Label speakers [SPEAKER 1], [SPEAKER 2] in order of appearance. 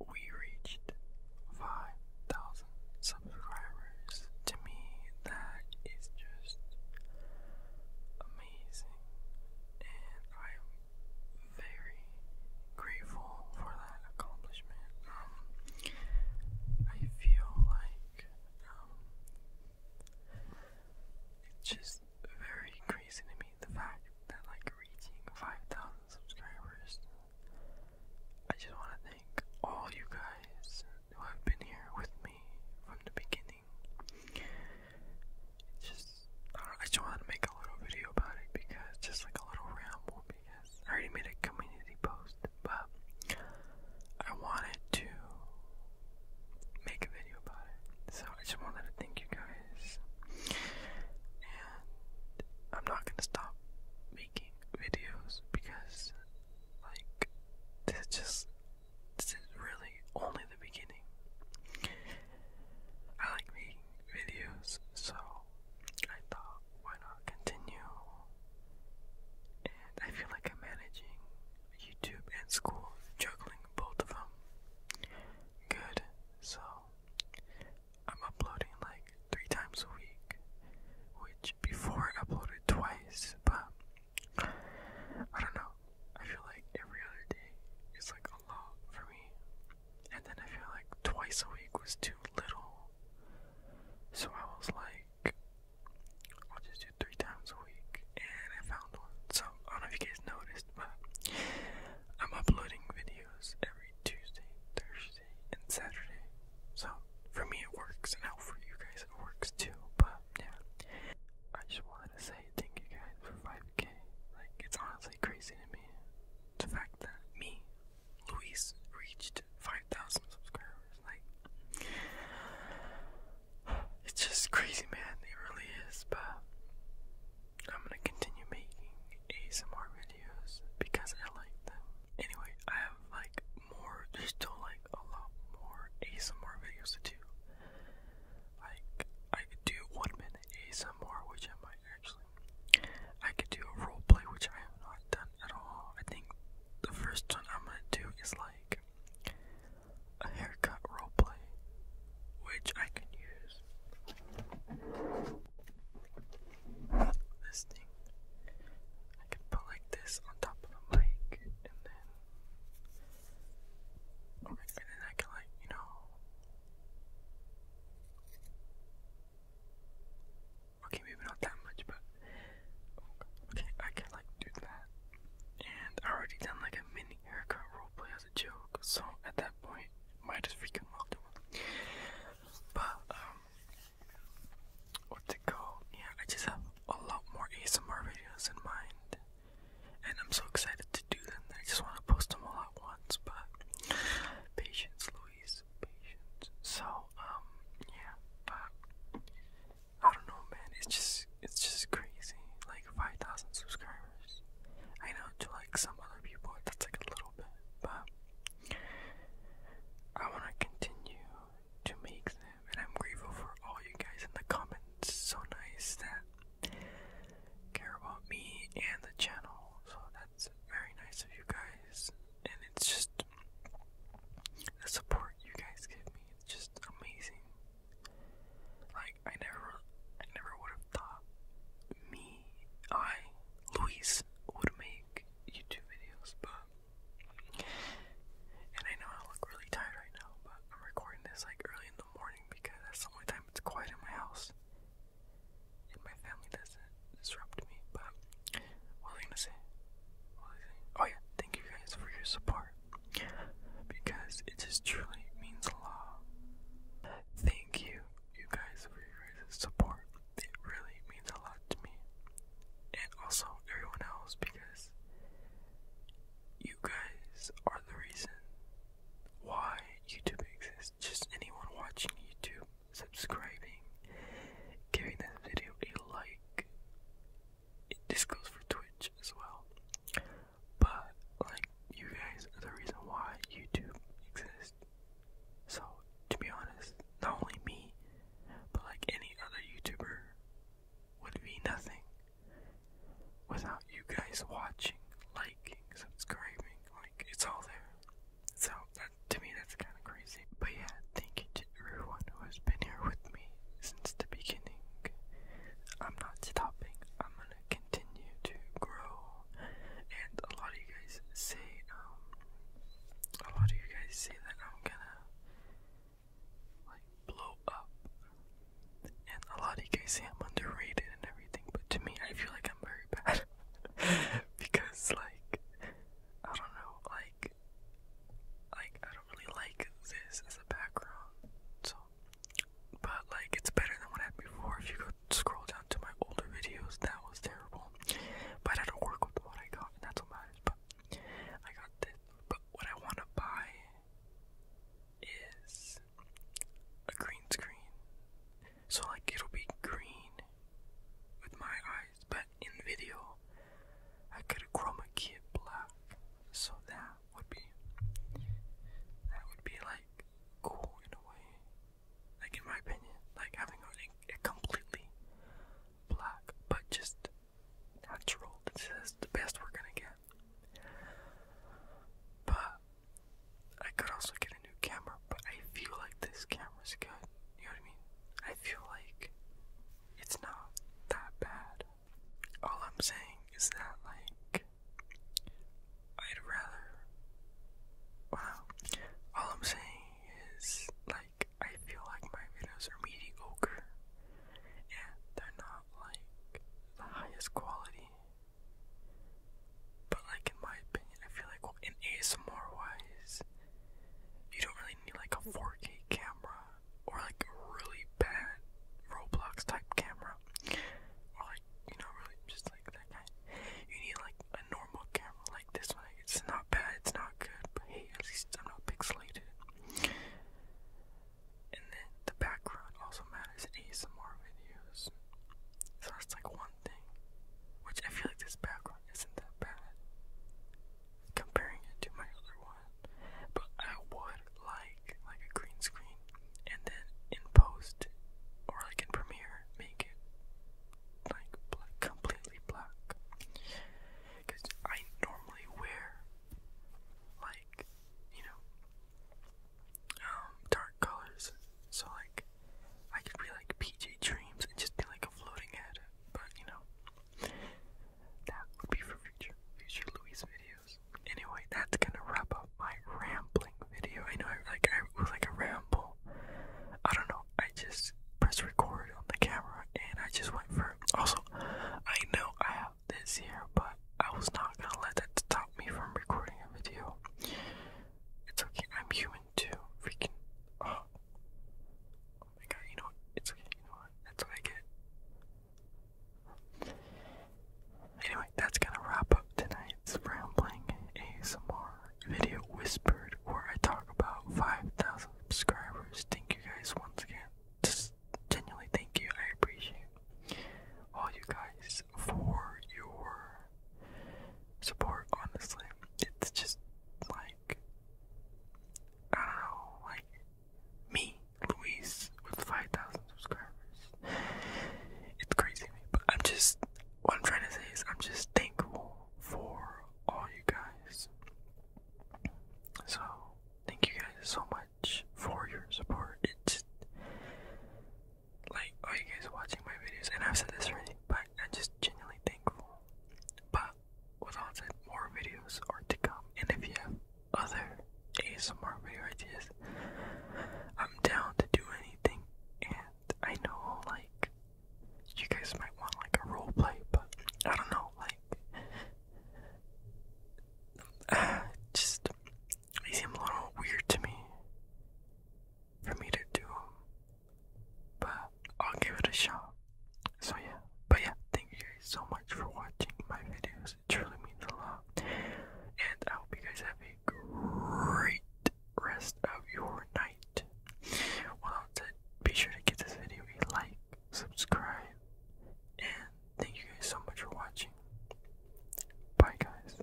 [SPEAKER 1] We reached 5,000 subscribers. To me, that is just amazing, and I'm very grateful for that accomplishment. Um, I feel like um, it's just very crazy to me the fact that like reaching 5,000 subscribers. I just want to thank all you guys who have been here with me from the beginning. It's just, I, just want to make a little video about it because, just like a little ramble, because I already made a community post, but I wanted to make a video about it. So, I just wanted to thank you guys. And I'm not gonna stop making videos because like this just this is really only the beginning. I like making videos, so I thought why not continue? And I feel like I'm managing YouTube and school, juggling both of them. Good, so I'm uploading like three times a week, which before I uploaded twice, but I don't know. I feel like every other day is like a lot for me, and then I feel like twice a week was too little, so I was like, I'll just do three times a week, and I found one. So I don't know if you guys noticed, but I'm uploading videos every Tuesday, Thursday, and Saturday. So for me it works, and I for you guys it works too. But yeah, I just wanted to say thank you guys for 5k. Like it's honestly crazy to me the fact that me, Luis, reached 5,000 subscribers. Like it's just crazy, man. It really is. But I'm gonna continue making ASMR videos because I like them. Anyway, I have like more, there's still like a lot more ASMR videos to do. Like, I could do one minute ASMR, which I might actually. I could do a role play, which I have not done at all. I think the first one I'm gonna do is like a haircut roleplay, which I can use. This thing. I can put like this on top of the mic and then okay, and then I can like, you know Okay, maybe not that much, but okay, I can like do that. And I already done like a mini haircut roleplay as joke, so at that point, might as well do it. But, um, what's it called? Yeah, I just have a lot more ASMR videos in mind, and I'm so excited to do them I just want to post them all at once, but patience, Louise, So, um, yeah, but I don't know, man. It's just it's just crazy. Like five thousand subscribers. I know to like some other people that's like a little bit, but I want to continue to make them, and I'm grateful for all you guys in the comments. so nice that care about me and the channel. So that's very nice of you guys, and it's just the support you guys give me. It's just amazing. Like I never, I never would have thought me, I, Luis, would make YouTube videos, but and I know I look really tired right now, but I'm recording this like early in the morning because at the only time it's quiet in my house, and my family doesn't disrupt me. But what was I gonna say? Oh yeah, thank you guys for your support. Because it just truly means a lot. Thank you, you guys, for your guys' support. It really means a lot to me. And also everyone else because you guys are the reason why YouTube exists. Just anyone watching YouTube, subscribing, giving this video a like, this goes for Twitch as well. But like you guys are the reason why YouTube exists. So to be honest, not only me, but like any other YouTuber would be nothing without you guys watching, liking, subscribing. Like it's all there. So to me that's kind of crazy. But yeah, thank you everyone who has been here with me since the beginning. I'm not stopping. I'm gonna continue to grow. And a lot of you guys say, um, a lot of you guys say that I'm gonna like blow up. And a lot of you guys say I'm underrated and everything, but to me, I feel like I'm very bad because, like, I don't know, like like I don't really like this as a background. So but like it's better than what had before. If you go scroll down to my older videos, that was terrible. But I had to work with what I got and that's what matters. But I got this but what I wanna buy is a green screen. So like it'll be green with my eyes but in video I could chroma key it black. So that would be that would be like cool in a way. Like in my opinion, like having a, a completely black but just natural. This is the best we're gonna get. But I could also get a new camera, but I feel like this camera's good. You know what I mean? I feel like it's not that bad. All I'm saying is that, like, I'd rather. Wow. All I'm saying is, like, I feel like my videos are mediocre. And they're not, like, the highest quality. But, like, in my opinion, I feel like, well, in ASMR wise, you don't really need like a 4K camera or like a really bad Roblox type camera or like you know really just like that guy. You need like a normal camera like this one. It's not bad, it's not good, but hey, at least I'm not pixelated. And then the background also matters in ASMR videos. So that's like one which I feel like this background isn't that bad comparing it to my other one, but I would like like a green screen and then in post or like in Premiere make it like black, completely black because I normally wear like you know um dark colors so like I could be like PJ Dreams and just like floating head, but you know, that would be for future, future Luis videos. Anyway, that's gonna wrap up my rambling video. I know, I, like, I like a ramble. I don't know. I just pressed record on the camera, and I just went for. It. Also, I know I have this here, but I was not gonna let that stop me from recording a video. It's okay, I'm human too. Freaking. Oh. oh. my god, you know what? It's okay, you know what? That's what I get. Anyway, that's gonna wrap tonight's rambling ASMR video whispered where I talk about 5,000 subscribers. Thank you guys once again. Just genuinely thank you. I appreciate all you guys for your support, honestly. It's just like I like me, Luis, with five thousand subscribers. It's crazy, but I'm just what I'm trying to say is I'm just thankful for all you guys. So thank you guys so much for your support. It's like are you guys watching my videos and I've said this already but I'm just genuinely thankful but with all said more videos are to come and if you have other ASMR video ideas I'm down to do anything and I know like you guys might want like a role play but I don't know like just they seem a little weird to me for me to do, but I'll give it a shot. So yeah, but yeah, thank you guys so much for watching my videos. It truly means a lot, and I hope you guys have a great rest of your night. Well, that's Be sure to give this video a like, subscribe, and thank you guys so much for watching. Bye, guys.